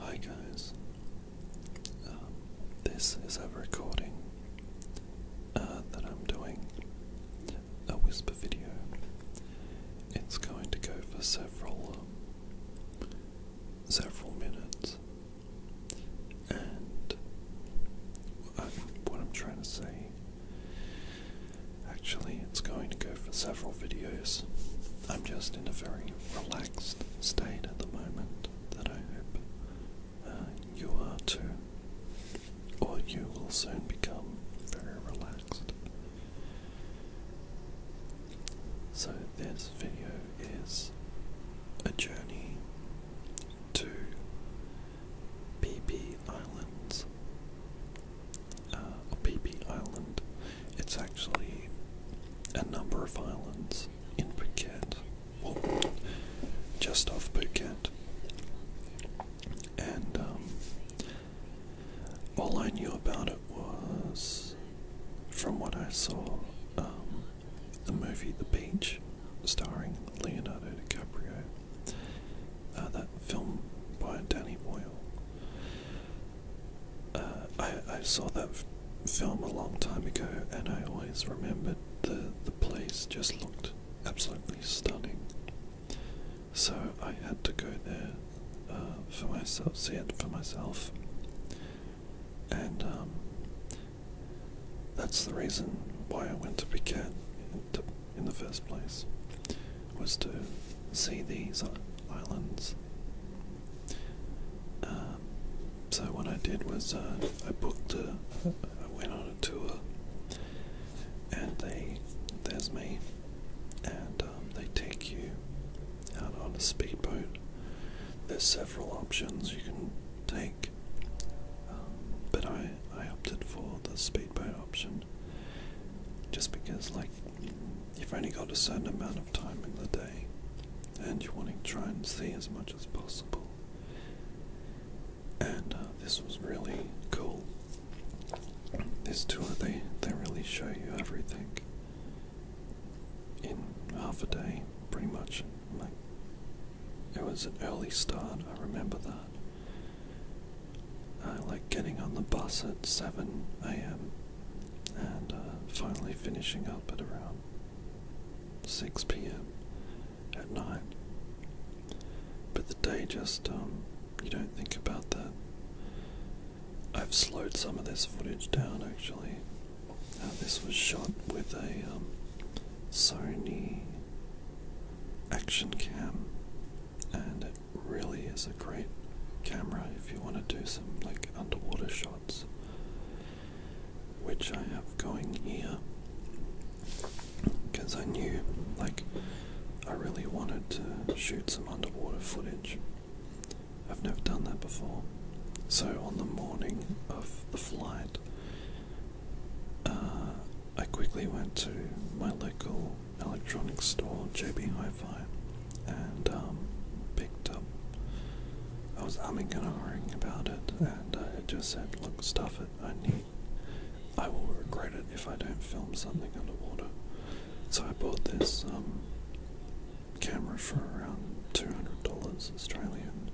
Hi guys, um, this is a recording uh, that I'm doing, a whisper video. It's going to go for several, um, several minutes, and um, what I'm trying to say, actually, it's going to go for several videos. I'm just in a very relaxed state at the moment that I hope uh, you are too, or you will soon become very relaxed. So, this video is a journey to PP Islands uh, island. It's actually a number of islands in Phuket, just off Phuket. And um, all I knew about it was from what I saw um, the movie The Beach, starring Leonardo DiCaprio. Uh, that film by Danny Boyle. Uh, I, saw that film a long time ago, and I always remembered the the place just looked absolutely stunning. So I had to go there uh, for myself, see it for myself, and um, that's the reason why I went to Phuket in the first place was to see these islands. Um, so what I did was uh, I booked a, I went on a tour, and they there's me, and um, they take you out on a speedboat. There's several options you can take, um, but I I opted for the speedboat option. Just because, like, you've only got a certain amount of time in the day and you want to try and see as much as possible. And uh, this was really cool. This tour, they, they really show you everything in half a day, pretty much. Like, it was an early start, I remember that. I like getting on the bus at 7 a.m. and uh, finally finishing up at around 6 p.m. at night. But the day just, um, you don't think about that. I've slowed some of this footage down actually. Uh, this was shot with a um, Sony Action Cam and it really is a great camera if you want to do some like underwater shots which I have going here because I knew like I really wanted to shoot some underwater footage. I've never done that before. So on the morning of the flight, uh, I quickly went to my local Electronic store, JB Hi-Fi, and um, picked up. I was umming and ahhing about it, and I just said, "Look, stuff it. I need. I will regret it if I don't film something underwater." So I bought this um, camera for around two hundred dollars Australian.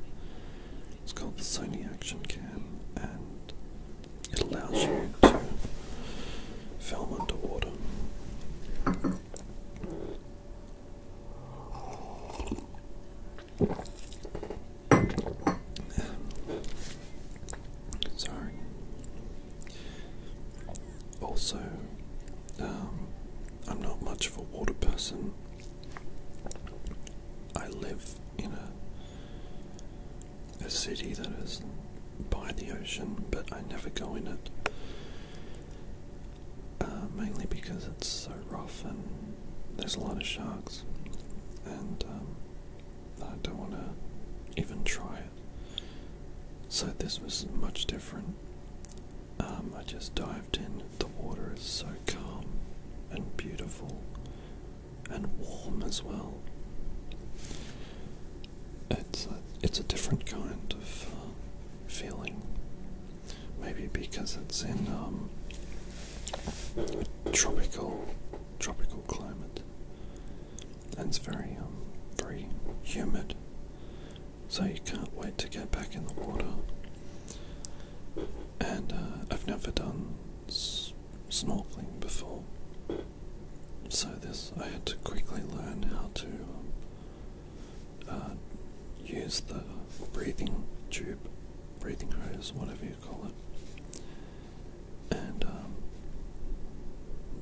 It's called the Sony Action Cam, and it allows you to film underwater. Sorry. Also, um, I'm not much of a water person. I live in a a city that is by the ocean, but I never go in it. Uh, mainly because it's so rough and there's a lot of sharks, and um, I don't want to even try it. So this was much different. Um, I just dived in. The water is so calm and beautiful and warm as well it's a, it's a different kind of uh, feeling. Maybe because it's in um, a tropical tropical climate, and it's very um, very humid. So you can't wait to get back in the water. And uh, I've never done snorkeling before, so this, I had to quickly learn how to um, uh, use the breathing tube, breathing hose, whatever you call it. And um,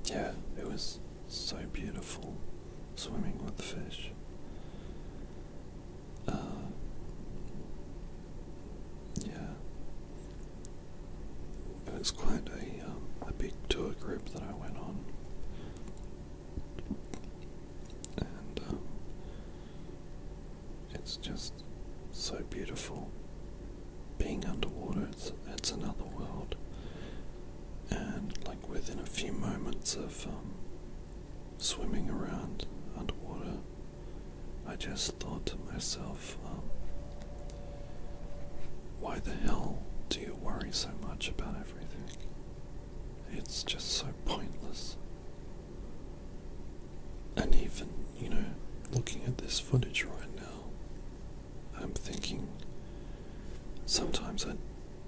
yeah, it was so beautiful swimming with fish. Uh, yeah, it was quite a, um, a big tour group that I went on. And um, it's just so beautiful. Being underwater, it's, it's another world. And like within a few moments of um, swimming around underwater, I just thought to myself, um, why the hell do you worry so much about everything? It's just so pointless. And even, you know, looking at this footage right now, I'm thinking sometimes I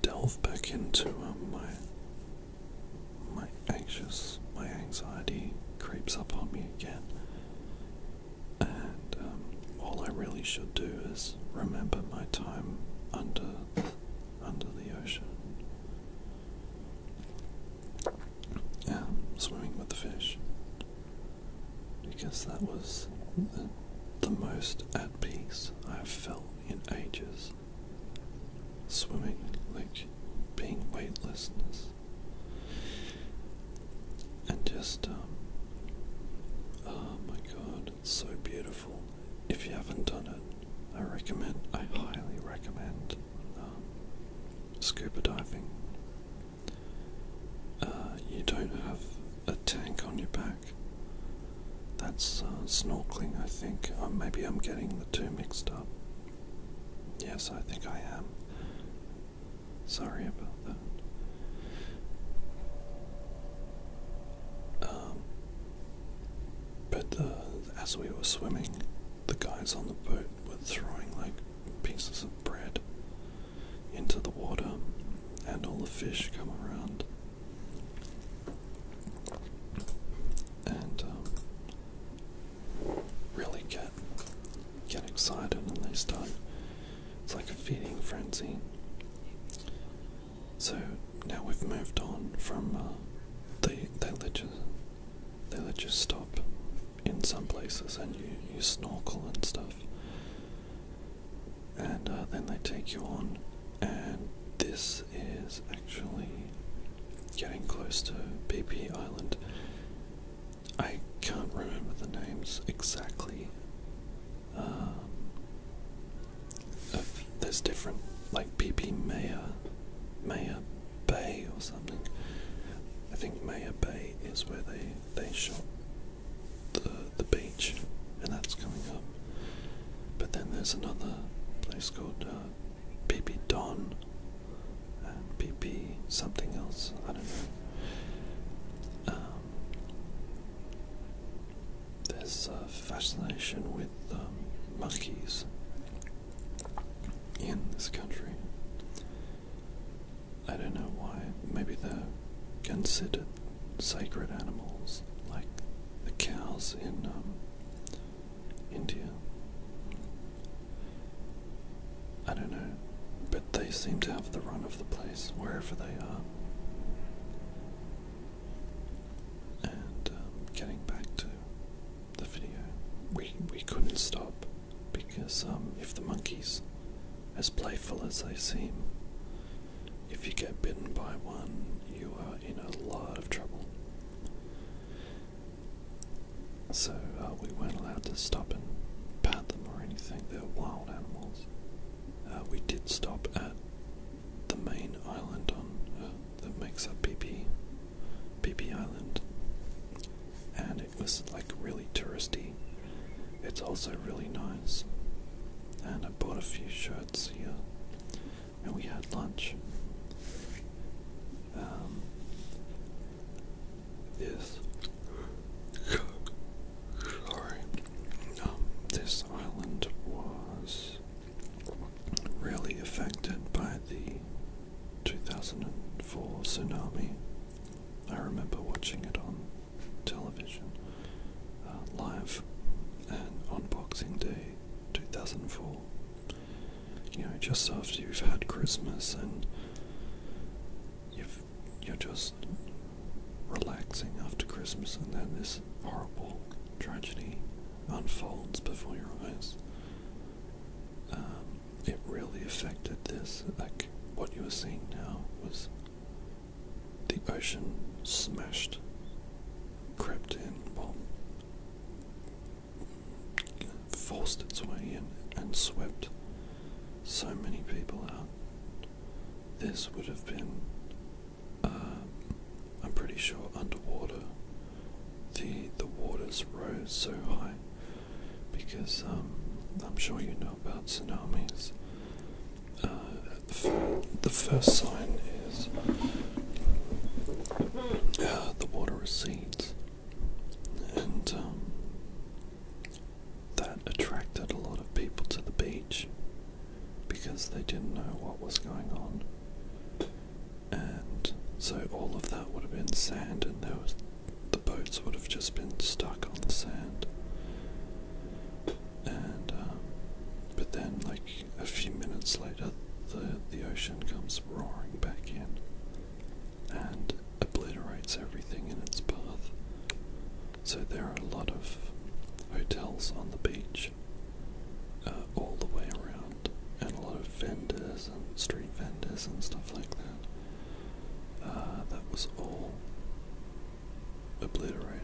delve back into um, my my anxious, my anxiety creeps up on me again and um, all I really should do is remember my time under under the ocean. Yeah, swimming with the fish. Because that was the, the most at peace I've felt in ages. Swimming, like being weightlessness and just um, oh my god, it's so beautiful. If you haven't done it, I recommend, I highly recommend um, scuba diving. Uh, you don't have a tank on your back. That's uh, snorkeling, I think. Uh, maybe I'm getting the two mixed up. Yes, I think I am. Sorry about that. Um, but as we were swimming, the guys on the boat were throwing like pieces of bread into the water, and all the fish come around. And um, really get get excited and they start it's like a feeding frenzy. So now we've moved on from the uh, they they let you they let you stop in some places and you, you snorkel and stuff. And uh, then they take you on, and this is actually getting close to BP Island. I can't remember the names exactly. Um, there's different, like PP Maya, Maya Bay or something. I think Maya Bay is where they they shot the the beach, and that's coming up. But then there's another place called uh, Don, PP something else. I don't know. Um, there's a uh, fascination with um, monkeys in this country. I don't know why. Maybe they're considered sacred animals, like the cows in um, India. I don't know, but they seem to have the run of the place wherever they are. And um, getting back to the video, we we couldn't stop because um, if the monkeys, as playful as they seem, if you get bitten by one, you are in a lot of trouble. So uh, we weren't allowed to stop and pat them or anything. They're wild animals. Uh, we did stop at the main island on uh, that makes up PP, PP Island, and it was like really touristy. It's also really nice. And I bought a few shirts here, and we had lunch. Um, is sorry. Um, this island was really affected by the 2004 tsunami. I remember watching it on television uh, live on Boxing Day 2004 you know, just after you've had Christmas and you've, you're just relaxing after Christmas, and then this horrible tragedy unfolds before your eyes. Um, it really affected this. Like what you were seeing now was the ocean smashed, crept in. Well, forced its way in and swept so many people out. This would have been, um, I'm pretty sure, underwater. The, the waters rose so high because um, I'm sure you know about tsunamis. Uh, the, first sign is uh, the water recedes and um, that attracted a lot of people to the beach because they didn't know what was going on. And so all of that would have been sand, and the boats would have just been stuck on the sand. And um, but then, like a few minutes later, the the ocean comes roaring back in, and obliterates everything in its path. So there are a lot of hotels on the beach uh, all the way around, and a lot of vendors and street vendors and stuff like that. Uh, that was all obliterated.